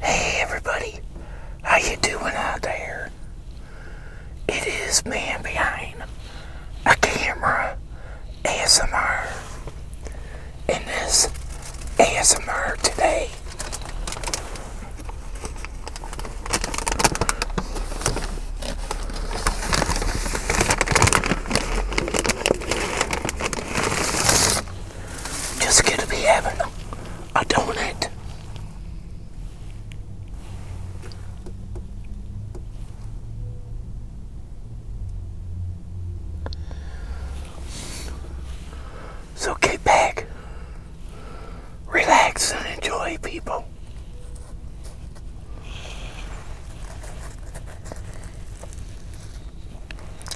Hey everybody, how you doing out there? It is man behind a camera ASMR. In this ASMR today, just gonna be having a donut. So get back, relax, and enjoy, people.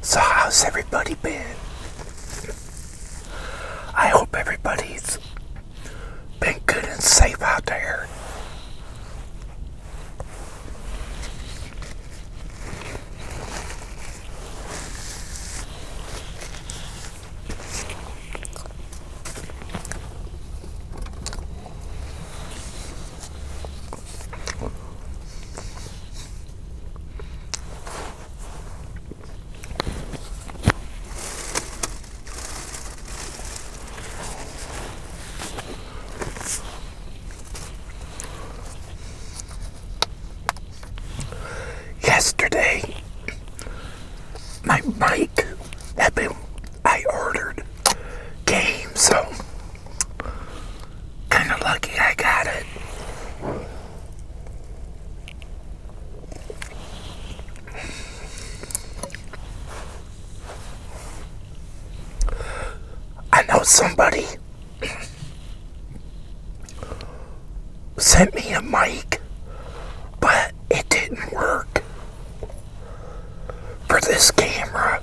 So, how's everybody been? I hope everybody's been good and safe out there. Yesterday, my mic had been, I ordered game, so Kind of lucky I got it. I know somebody sent me a mic, but it didn't work for this camera.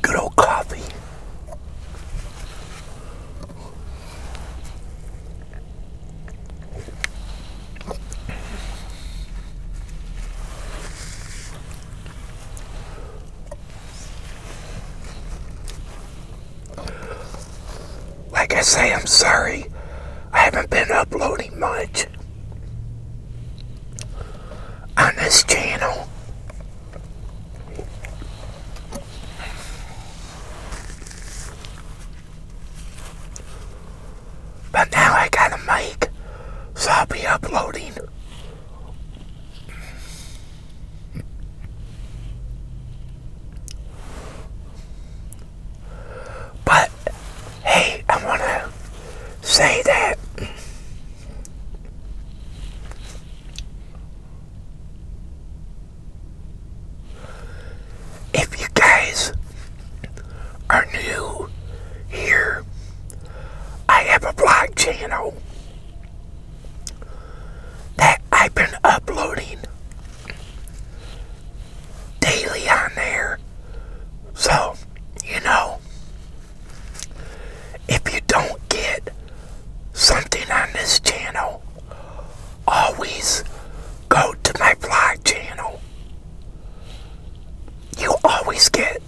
Good old coffee. Like I say, I'm sorry. I haven't been uploading much on this channel. But now I got a mic, so I'll be uploading. But, hey, I want to say that if you guys are new here, I have a blog channel that I've been uploading daily on there. So, you know, if you don't get something on this channel, always go to my vlog channel. You always get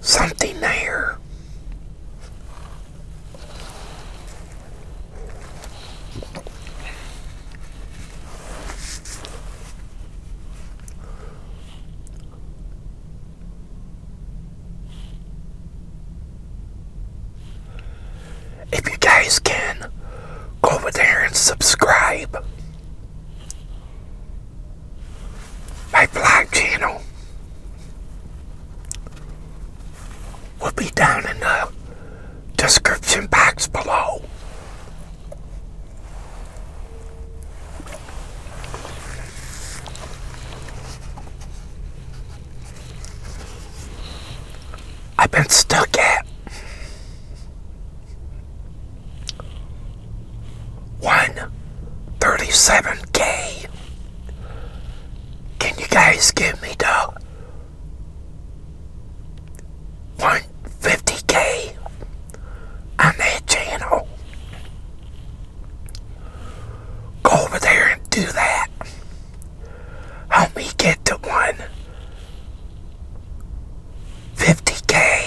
something there. If you guys can, go over there and subscribe. My vlog channel will be down in the description box below. I've been stuck at. One thirty-seven K. Can you guys give me the one fifty K on that channel? Go over there and do that help me get to one. Fifty k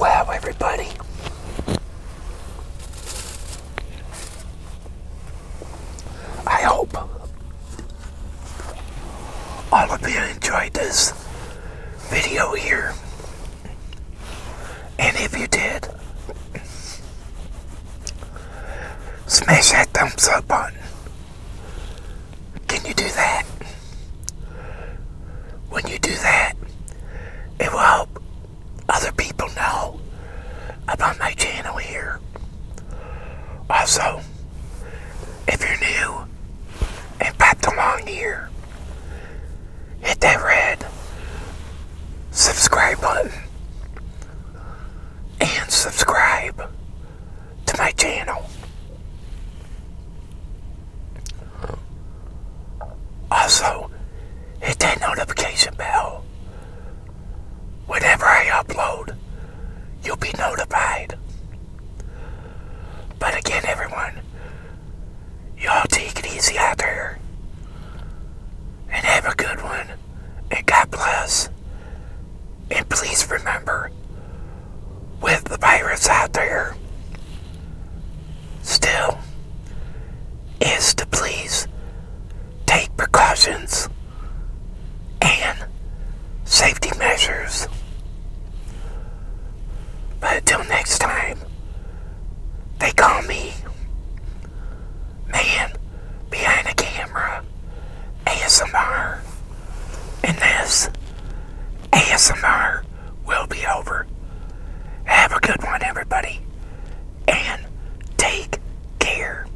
Wow, everybody. I hope I hope you enjoyed this video here. And if you did, smash that thumbs up button. Can you do that? When you do that, it will help other people know about my channel here. Also, if you're new and popped along here, hit that red subscribe button and subscribe to my channel. Also, hit that notification bell. Whenever I upload, you'll be notified. But again, everyone, y'all take it easy out there. And have a good one. And God bless. And please remember, with the virus out there, still is to please take precautions and safety measures. But until next time, they call me Man Behind the Camera ASMR. And this ASMR will be over. Have a good one, everybody. And take care.